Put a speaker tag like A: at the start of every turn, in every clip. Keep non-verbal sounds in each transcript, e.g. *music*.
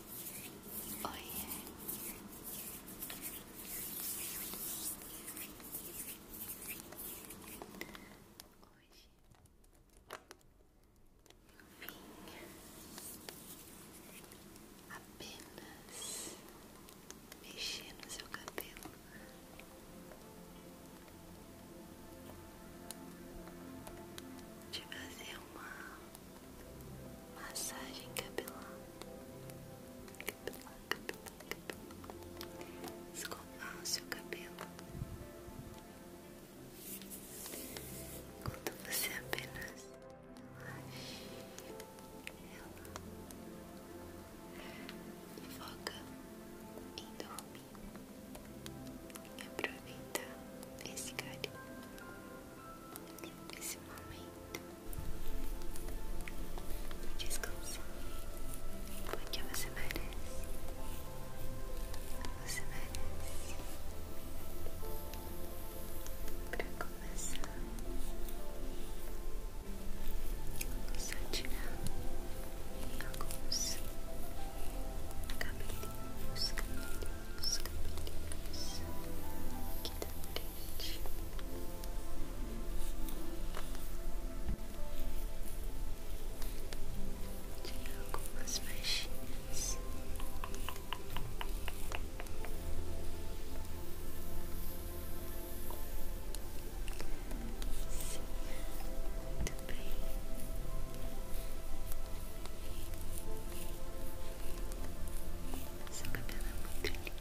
A: Oi. Hoje eu vim apenas mexer no seu cabelo. Te fazer uma massagem capilar, capilar, capilar, capilar. escovar o seu cabelo enquanto você apenas relaxa e foca em dormir aproveitar esse carinho esse momento de porque você merece, você merece. Para começar, vou só tirar alguns cabelinhos, cabelinhos os cabelinhos aqui da frente. Tirar algumas mexinhas. Seu cabelo é muito lindo.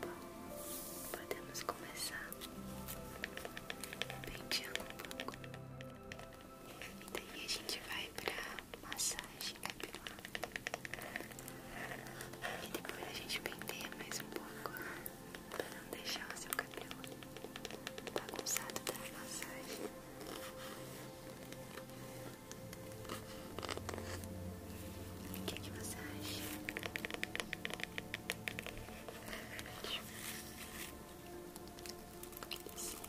A: Bom, podemos começar penteando um pouco. E daí a gente vai pra massagem capilar. E depois a gente penteia mais um pouco para não deixar o seu cabelo bagunçado da massagem. O que, é que você acha? Sim. *laughs*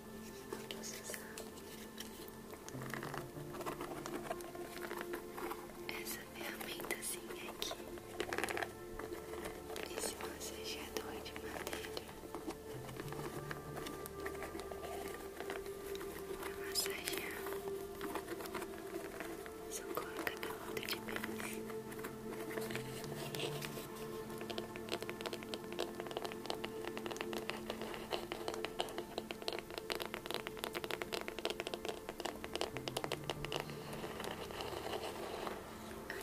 A: processar. Essa ferramentazinha aqui, esse massageador de madeira, para massagear, socorro coloca da outra de beijo.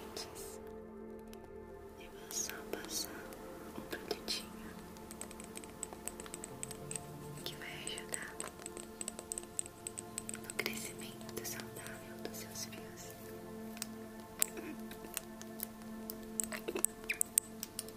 A: Antes, eu vou só passar um produtinho que vai ajudar no crescimento saudável dos seus fios.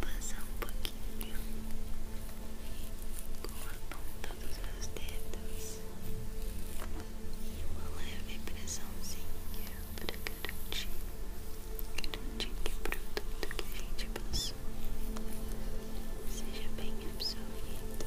A: passar um pouquinho com a ponta dos meus dedos e uma leve pressãozinha para garantir, garantir que o produto que a gente passou seja bem absorvido.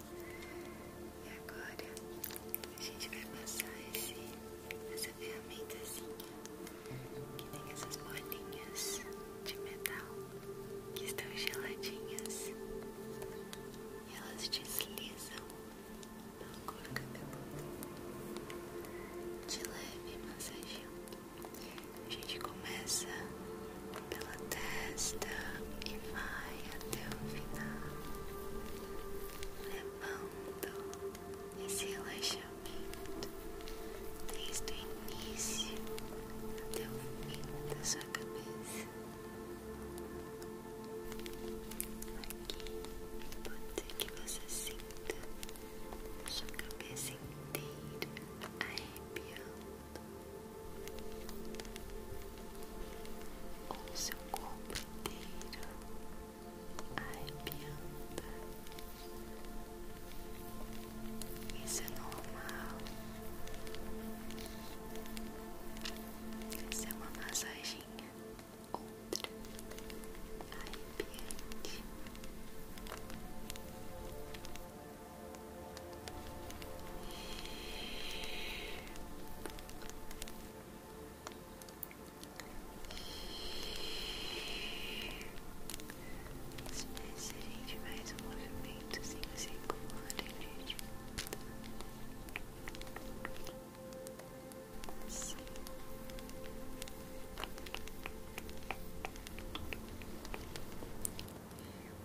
A: E agora a gente vai passar esse, essa ferramentazinha que tem essas bolinhas de metal que estão geladinhas e elas deslizam pelo couro cabeludo de leve massageando a gente começa pela testa e vai até o final, levando esse relaxamento desde o início até o fim da sua cabeça. Aqui pode ser que você sinta sua cabeça inteira arrepiando ou seu corpo inteiro arrepiando. Isso é normal. Isso é uma massagem ultra arrepiante. Se nesse a gente faz um movimento sem circular, gente.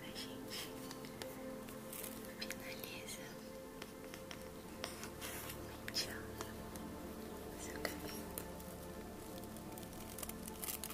A: A gente finaliza penteando o seu cabelo.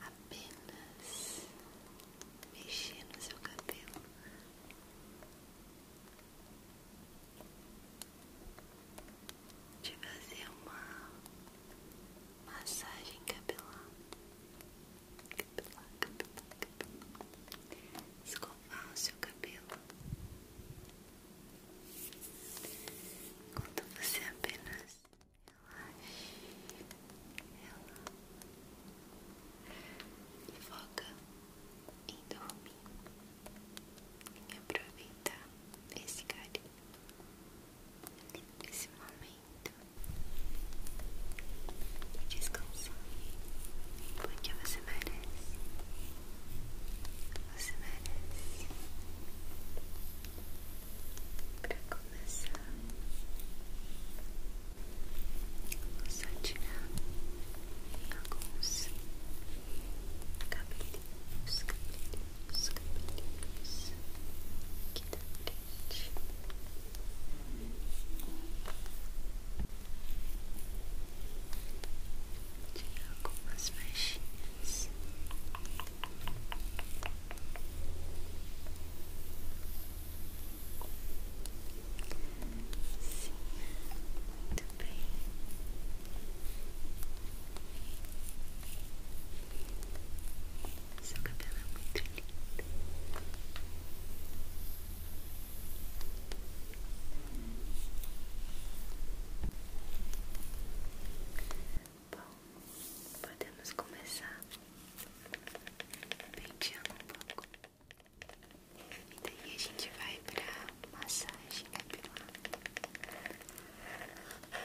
A: Eu vim apenas mexer no seu cabelo. Te fazer uma massagem capilar. Capilar, capilar, Escovar o seu cabelo quando você apenas relaxe, relaxa e foca em dormir, em aproveitar esse carinho, esse momento e descansar, porque você merece. Você merece. Pra começar, vou só tirar alguns cabelinhos, cabelinhos, cabelinhos aqui da frente de algumas mexinhas. Sim, muito bem. Seu cabelo é muito lindo. Bom, podemos começar penteando um pouco. E daí a gente vai pra massagem capilar.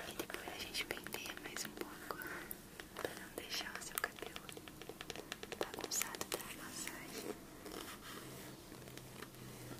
A: E depois a gente penteia mais um pouco pra não deixar o seu cabelo bagunçado da massagem.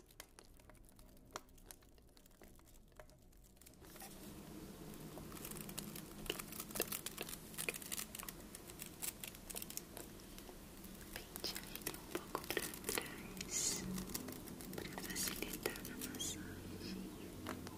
A: Pentear ele um pouco para trás para facilitar a massagem. Muito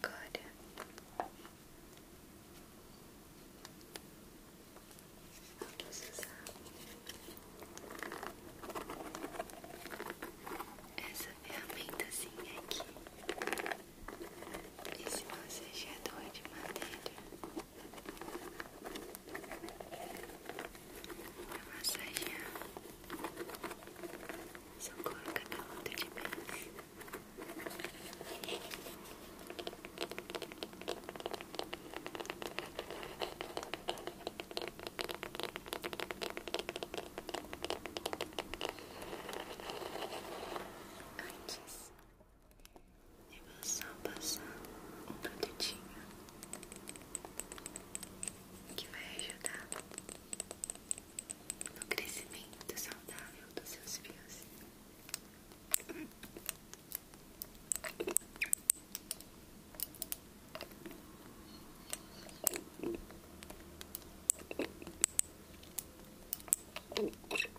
A: Agora vou precisar essa ferramenta assim é aqui. Esse massageador é de madeira para massagear seu corpo cada lado de vez. Antes e vou só passar um produtinho que vai ajudar no crescimento saudável dos seus fios.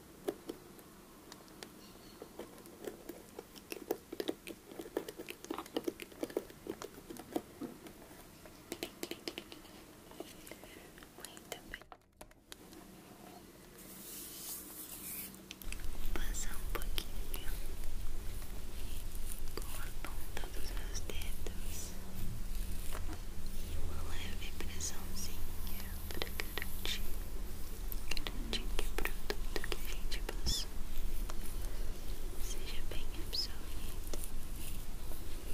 A: Muito bem. Vou passar um pouquinho com a ponta dos meus dedos e uma leve pressãozinha para garantir, garantir que o produto que a gente passou seja bem absorvido. Agora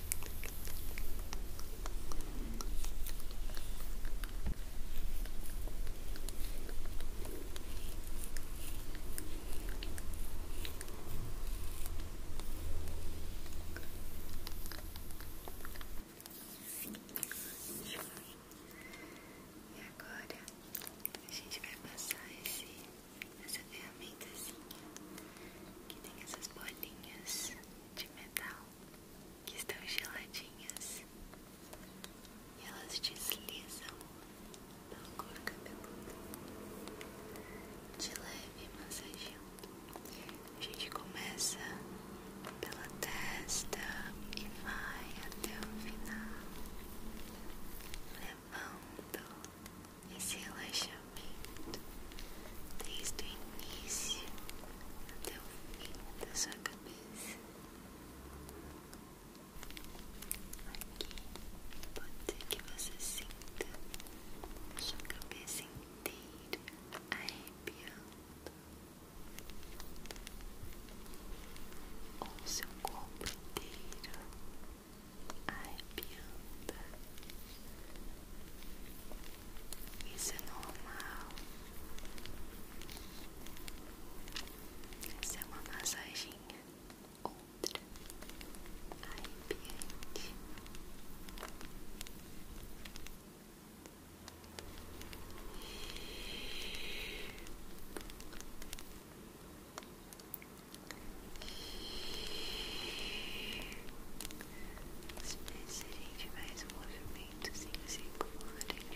A: E agora a gente vai passar esse essa ferramentazinha assim, que tem essas bolinhas de metal que estão geladinhas e elas deslizam no couro cabeludo de leve massageando. A gente começa pela testa e vai até o final, levando esse relaxamento desde o início até o fim da sua cabeça. Aqui pode ser que você sinta a sua cabeça inteira arrepiando ou seu corpo inteiro ai arrepiando. Isso é normal. Essa é uma massaginha outra ai piante se a gente mais um movimento sem circular, a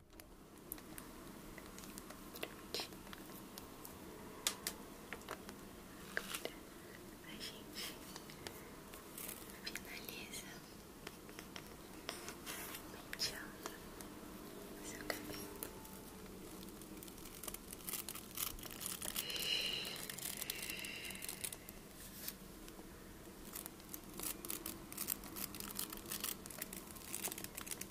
A: a gente finaliza penteando o cabelo.